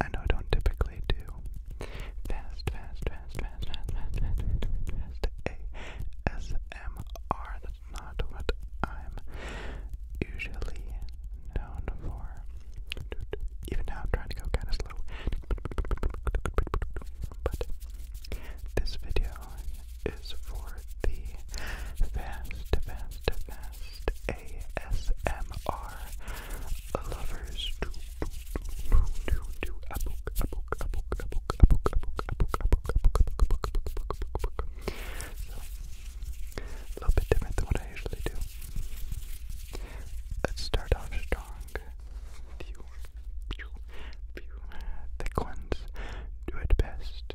I know I don't typically do fast, fast, fast, fast, fast, fast, fast, fast, fast ASMR. That's not what I'm usually known for. Even now, I'm trying to go kind of slow. But this video is for the fast, fast, fast ASMR lovers do do do do a little bit different than what I usually do. Let's start off strong. Few, few, do it best.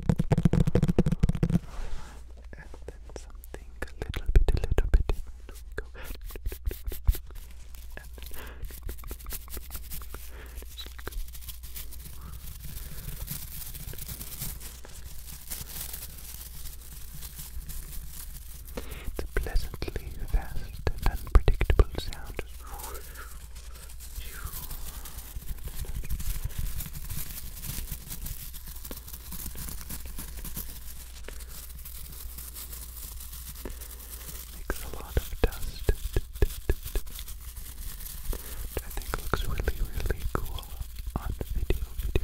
And then something a little bit, a little bit different. We go. And then just like the pleasantly fast and unpredictable sound. Makes a lot of dust. I think looks really, really cool on the video, you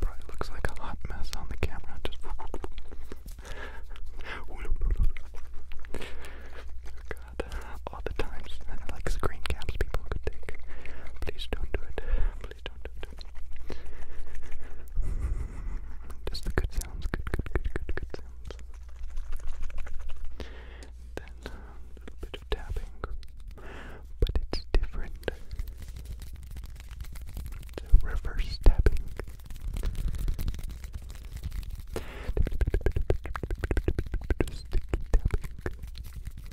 Probably looks like a hot mess on the camera. Just God, all the times like screen caps people could take. Please don't do it. Just the good sounds. Good, good, good, good, good sounds. Then um, a little bit of tapping, but it's different. It's reverse tapping.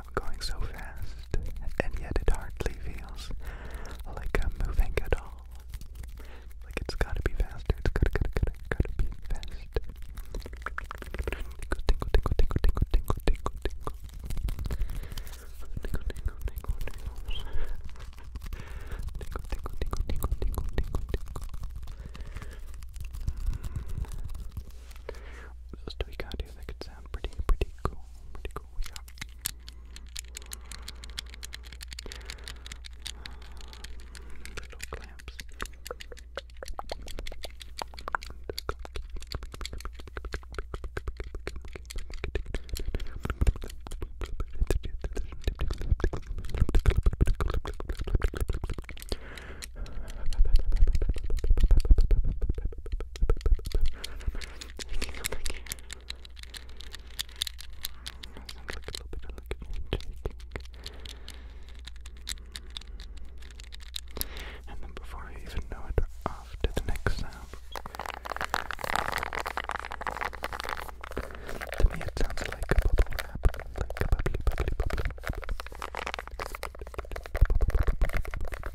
I'm going so fast, and yet it hardly feels like I'm moving at all. Like it's gotta be faster, it's gotta, gotta, gotta, gotta be fast. Tingle, tingle, tingle, tingle, tingle, tingle, tingle, tingle. Tingle, tingle, tingle, tingle, tingle, tingle, tingle. What else do we got here that could sound pretty, pretty cool? Pretty cool, we got. Uh, little clamps. And then before I even know it, off to the next sound. To me, it sounds like a bubble wrap, like a bubbly, bubbly, bubbly. Just like a bubble wrap to me.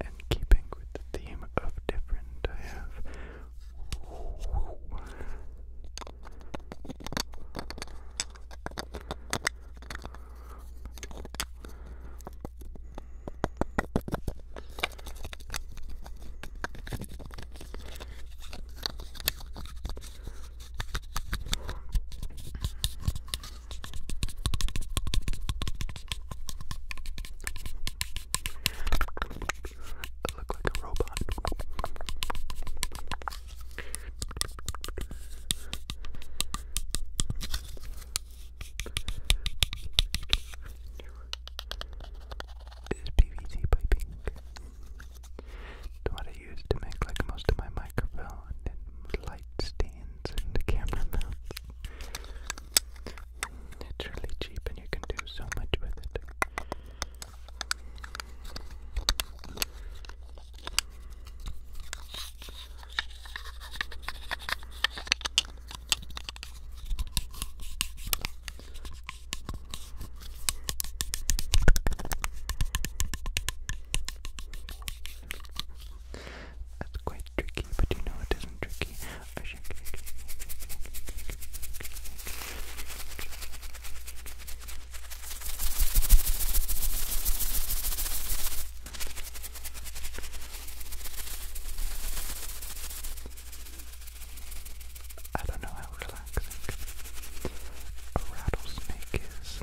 and keeping with the theme of different, I have I look like a robot. Is PVC piping? what I use to make like most of my microphone and light stands and the camera mounts. It's really cheap and you can do so much with it. That's quite tricky, but you know it isn't tricky. I don't know how relaxing a rattlesnake is,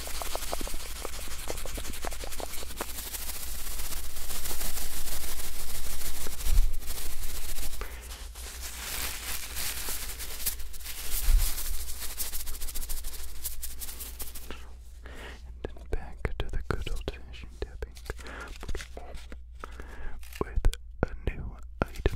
And then back to the good old fashioned tapping with a new item.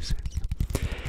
It's like you many unflattering faces.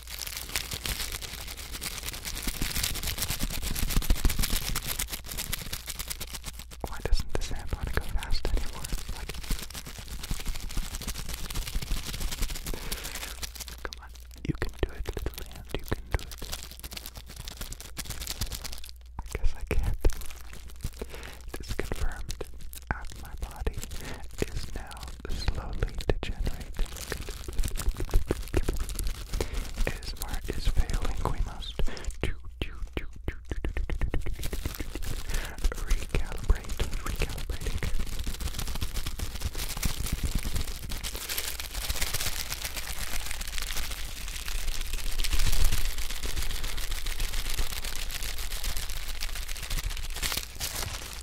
Why doesn't this amp go fast anymore? come on, you can do it, little amp, you can do it. I guess I can't. This confirmed my body is now slowly degenerating. ASMR is failing. We must do, recalibrate, recalibrating.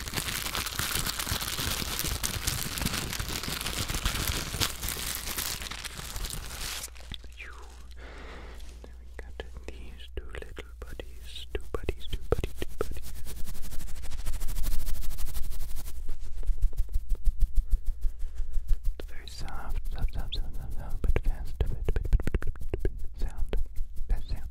You. we got these two little buddies, two buddies, two buddies, two buddies. It's very soft, soft, soft, soft, soft, but fast, but, but, but, but, sound, fast sound,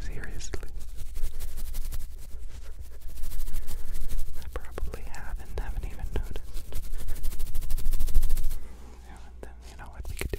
seriously. I probably have and haven't even noticed. and then, you know what we could do?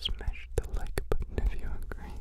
Smash the like button if you agree.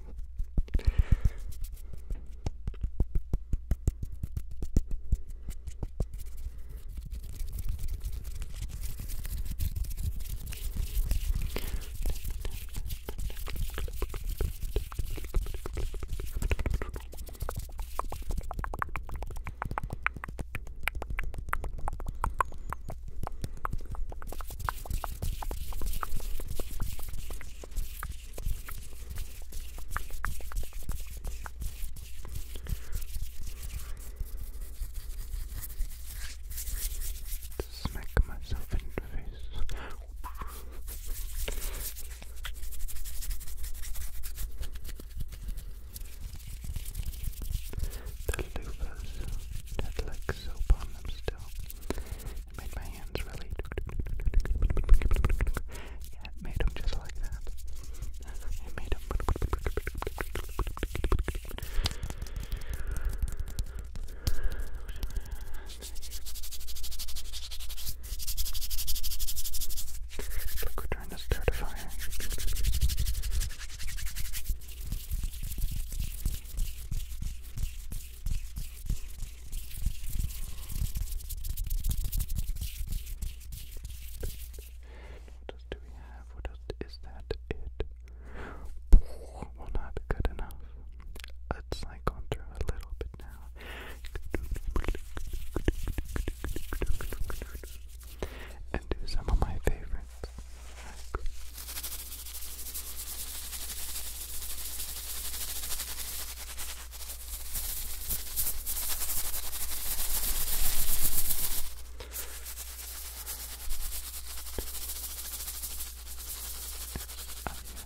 Smack myself in the face. The loofahs that like soap on them still. made my hands really Yeah, it just like that. Look, we're trying to start a fire. What else do we have? What else is that? It well, not good enough. Let's like go a little bit now and do some of my favorites. Like Yes, yes, yes, of course, of course, of course.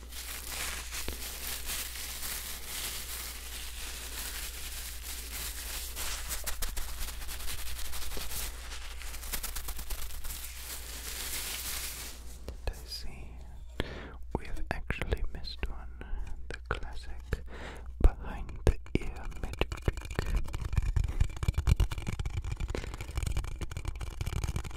I see. We have actually missed one. The classic behind the ear magic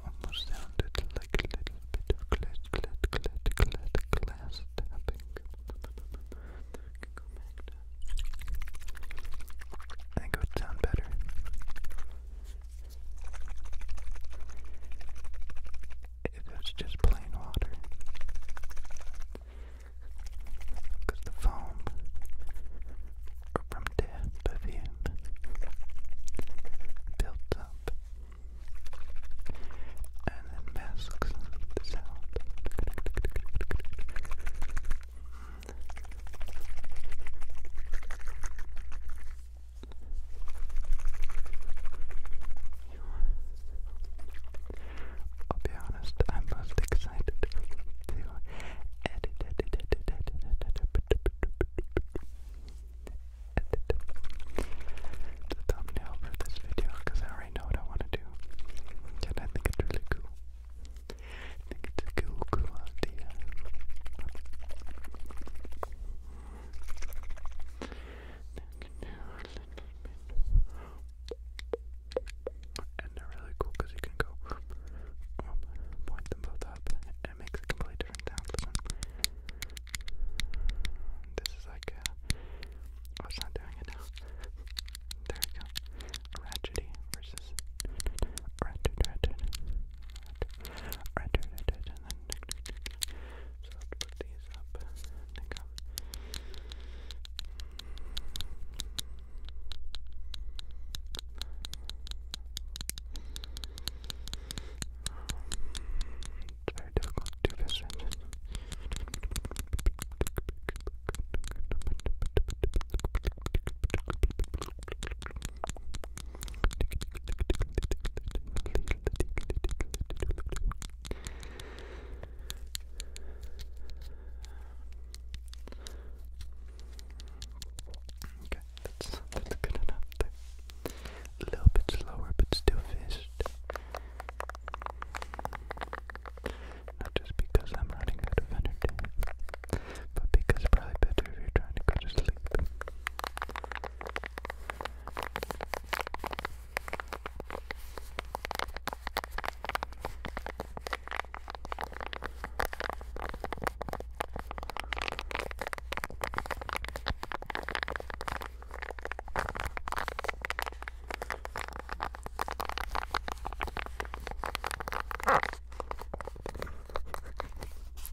Almost sounded like a little bit of clit, clit, clit, clit, glass tapping. Go back to I think it would sound better. If just plain water. the foam from death perfume built up and then masks the sound. I'll be honest, I'm most excited to edit, edit, the thumbnail for this video because I already know what I want to do, and I think it's really cool think you they're really cool because you can go um, point them both up and it a completely different sound. Listen. This is like, uh, oh, not doing it now. There we go. Ratchety versus ratchet, ratchet, ratchet, ratchet, ratchet, and then tick, tick, tick, tick. So put these up. Think of. It's very difficult to do Okay, that's that's good enough there. A little bit slower but still fished. Not just because I'm running out of energy, but because probably better if you're trying to go to sleep.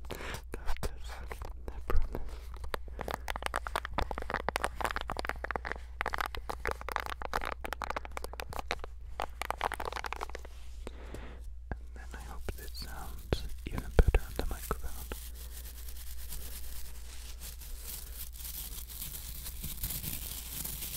Doctors, I And then I hope this sounds even better on the microphone.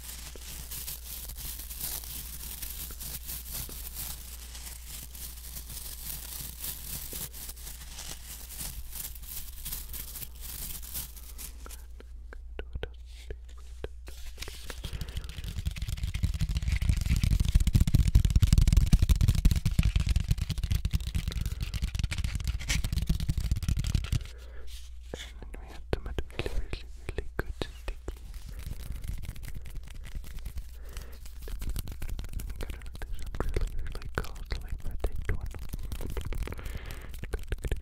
And we had tomato really, really good sticky. Gotta do some really, really costly for this one. And then,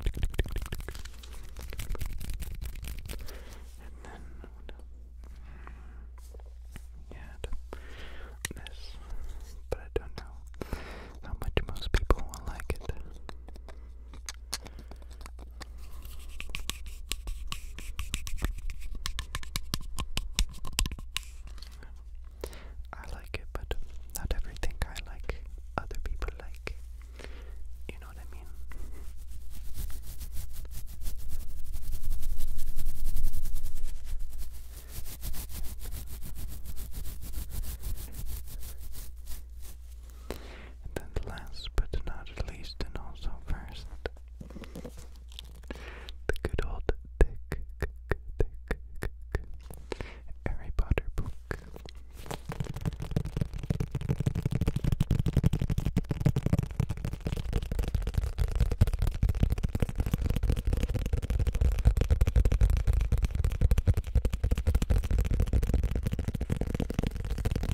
Yeah, this, but I don't know how much most people will like it. I like it, but not everything I like, other people like. You know what I mean? And then last but not least and also first the good old thick, thick, thick Harry Potter book.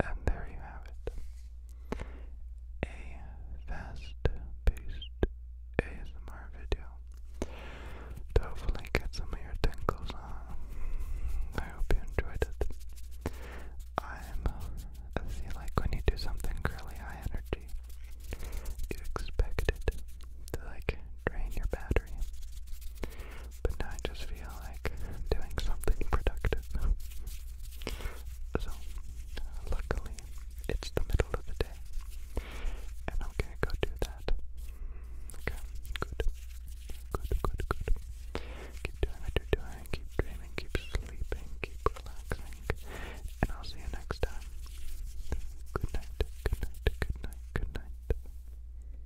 And there you have it. A fast-paced ASMR video hopefully get some of your tingles on. I hope you enjoyed it. i see, like when you do something really high energy, you expect it to like drain your battery. But now I just feel like doing something productive. so, luckily, it's the middle of the day. And I'm gonna go do that. Okay, good. Good, good, good. Keep doing what doing, keep dreaming, keep sleeping, keep relaxing. And I'll see you next time. Good night, good night, good night, good night.